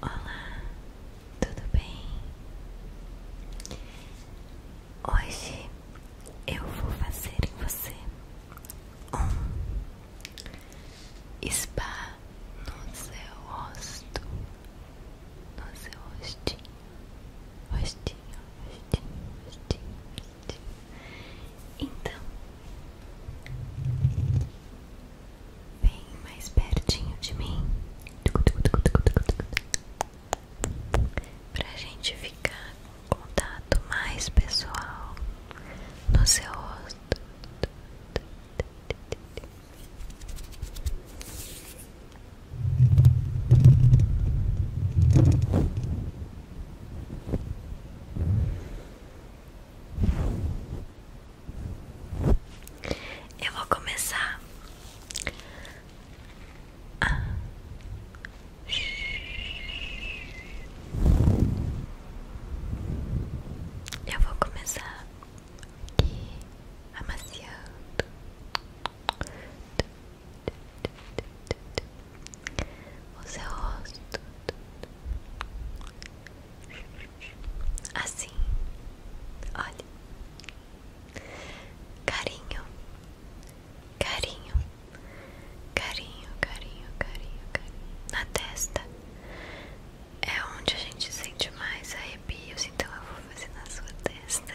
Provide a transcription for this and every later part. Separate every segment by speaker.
Speaker 1: Olá, tudo bem? Hoje eu vou fazer em você um spa no seu rosto, no seu rostinho, rostinho, rostinho, rostinho, então, vem mais pertinho de mim pra gente ficar com um contato mais pessoal no seu rosto. Muito eu vou começar a eu vou começar aqui amaciando é o seu rosto assim, olha, carinho, carinho, carinho, carinho, carinho, carinho na testa é onde a gente sente mais arrepios, então eu vou fazer na sua testa.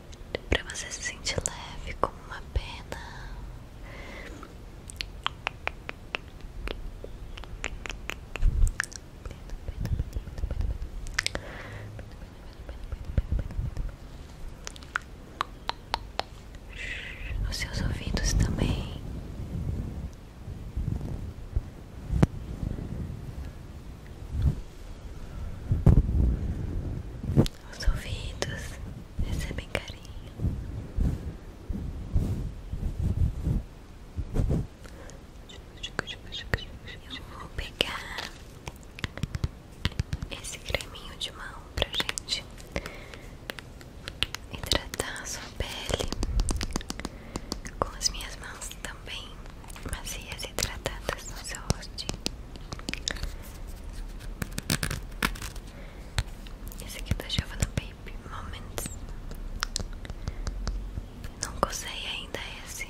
Speaker 1: para você se sentir leve como uma pena. Os seus ouvidos também. Os ouvidos recebem carinho. Eu vou pegar esse creminho de mão pra gente hidratar a sua pele com as minhas mãos, tá? também macias e tratadas no seu rostinho. Esse aqui é da Giovanna Baby Moments. Nunca usei ainda esse.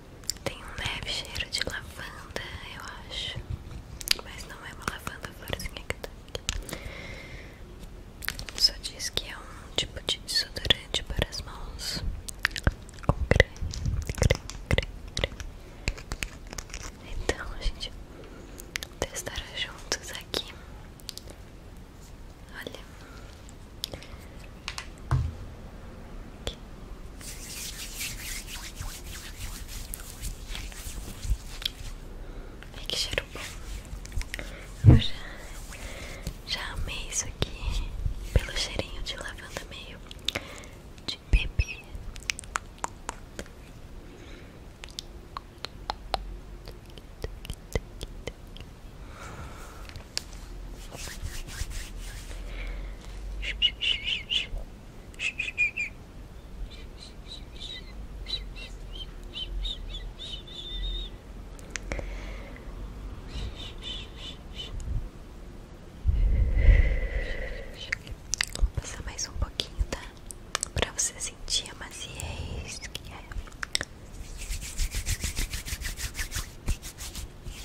Speaker 1: Tem um leve cheiro de lavanda, eu acho. Mas não é uma lavanda florzinha que tá aqui. Só diz que é um tipo de desodorante para as mãos. Com creme, creme, creme, creme. Então, gente, testar juntos aqui. Olha, que cheiro bom. Eu já, já amei isso aqui pelo cheirinho de lavanda meio de bebê. Vou passar mais um pouquinho, tá? Pra você sentir a maciez que é.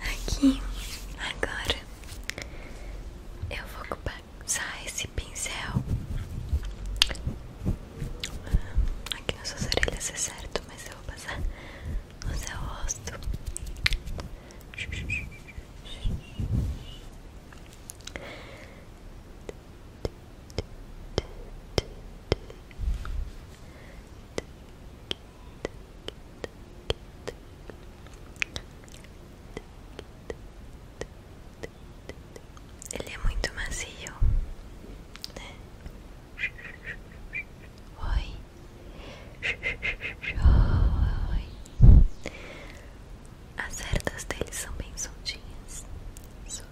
Speaker 1: Aqui, agora eu vou passar esse pincel aqui nas suas orelhas, é certo, mas eu vou passar no seu rosto. Ele é muito macio, né? Oi, oi. As cerdas dele são bem soltinhas. Soltinhas.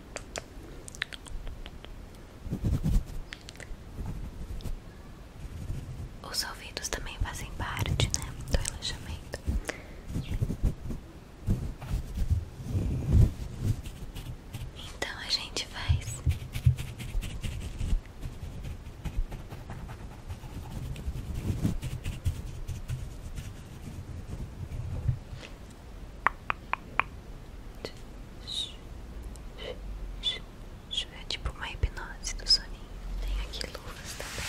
Speaker 1: Os ouvidos também fazem parte, né? Do relaxamento. Então a gente faz é tipo uma hipnose do soninho. Tem aqui luvas também.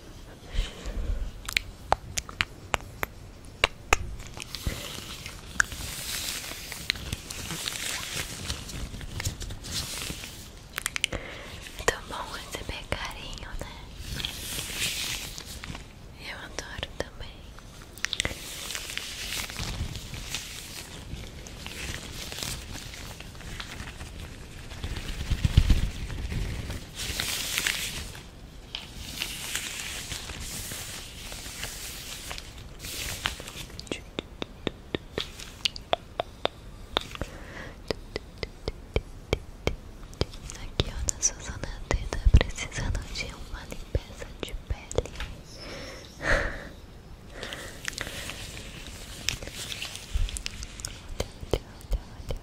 Speaker 1: tá bom receber carinho, né? Eu adoro também. Aqui, ó, na Suzana T tá precisando de uma limpeza de pele.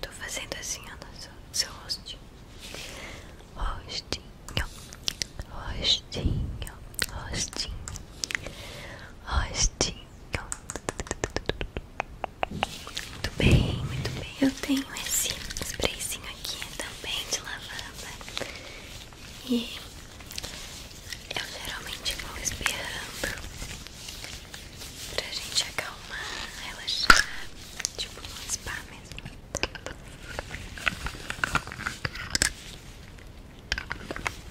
Speaker 1: Tô fazendo assim, ó, no seu, seu rostinho. Rostinho, rostinho, rostinho, rostinho. Muito bem, muito bem. Eu tenho esse sprayzinho aqui também de lavanda E eu geralmente vou espirrando Pra gente acalmar, relaxar Tipo um spa mesmo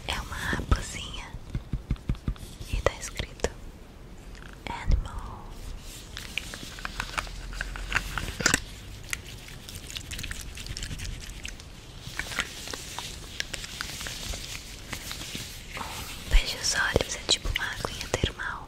Speaker 1: É uma raposinha E tá escrito Animal Fecha os olhos, é tipo uma aguinha termal.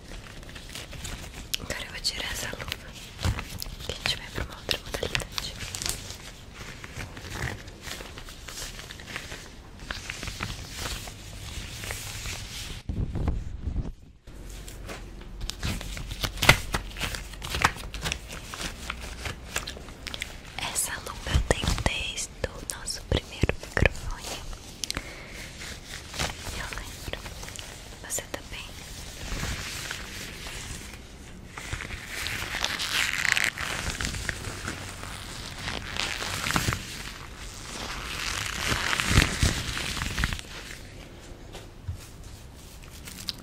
Speaker 1: Agora eu vou tirar essa luva que a gente vai pra uma outra modalidade. Essa luva eu tenho desde o nosso primeiro microfone eu lembro. Você tá bem?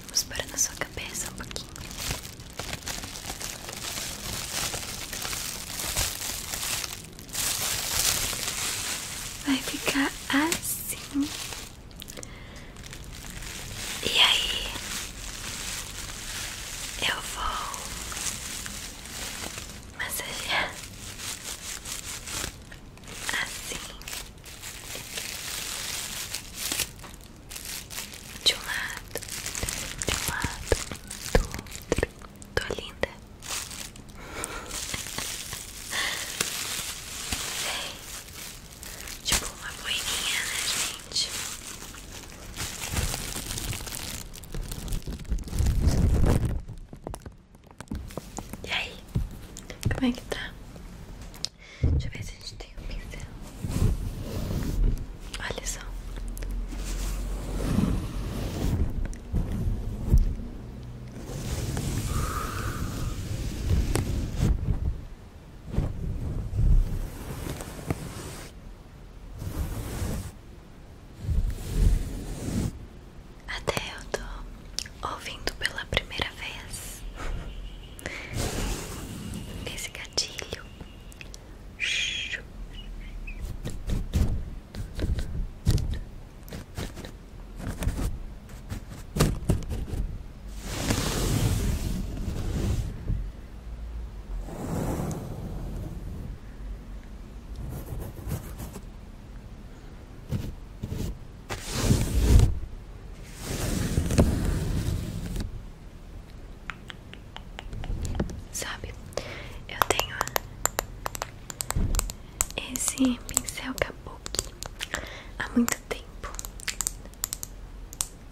Speaker 1: Vamos para na sua cabeça um pouquinho. Vai ficar assim. E aí, eu vou massagear assim de um lado, de um lado, do outro. Tô linda. tipo uma boininha, né, gente? E aí? Como é que tá? Deixa eu ver se a gente tem um pincel. Olha só. Até eu tô ouvindo pela primeira vez nesse gatilho. Sabe, eu tenho esse pincel Kabuki há muito tempo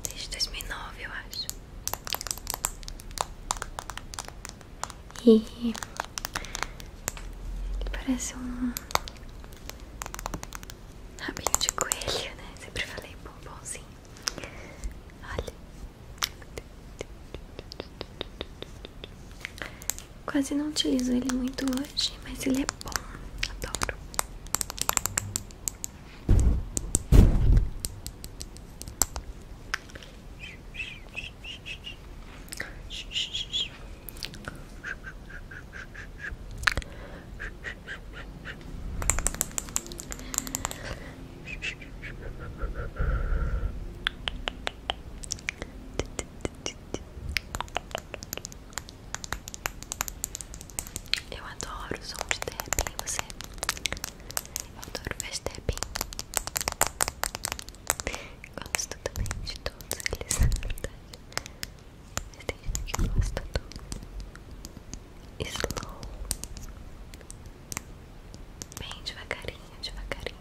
Speaker 1: desde 2009 eu acho e parece um rabinho de coelho, né? Sempre falei bombonzinho. Olha. Quase não utilizo ele muito hoje, mas ele é bom, adoro. Eu adoro o som de tapping, você? Eu adoro fazer tapping. Gosto também de todos eles, na verdade. Mas tem gente que gosta do slow. Bem devagarinho, devagarinho.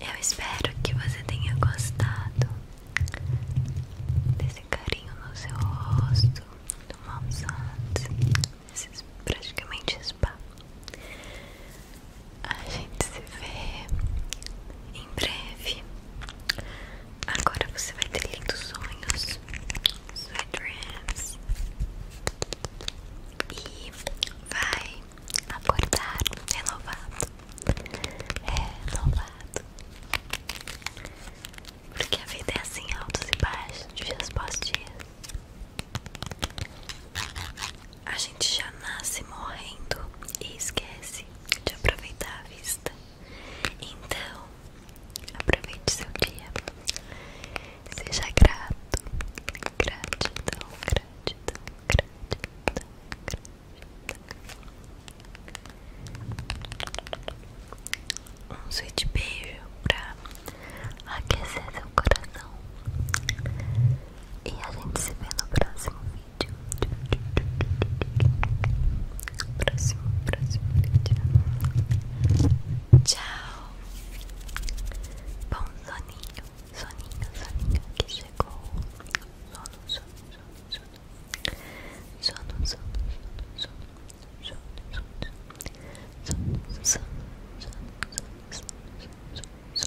Speaker 1: Eu espero que você tenha gostado desse carinho no seu rosto, do massagem, praticamente spa. A gente se vê em breve. Agora você vai ter lindos sonhos, sweet dreams, e vai acordar renovado, renovado. Porque a vida é assim, altos e baixos, dias após dias a gente já nasce morrendo e esquece de aproveitar a vista. Então, aproveite seu dia. Seja grato. Gratidão, gratidão, gratidão, gratidão. Um sweet beijo pra aquecer seu coração. E a gente se vê no próximo vídeo. Próximo, próximo vídeo. Tchau. Bom soninho, soninho, soninho que chegou. Sono, sono, sono, sono. Sono, sono, sono, sono. Sono, sono, sono. Sono, sono, sono, sono. sono, sono, sono, sono.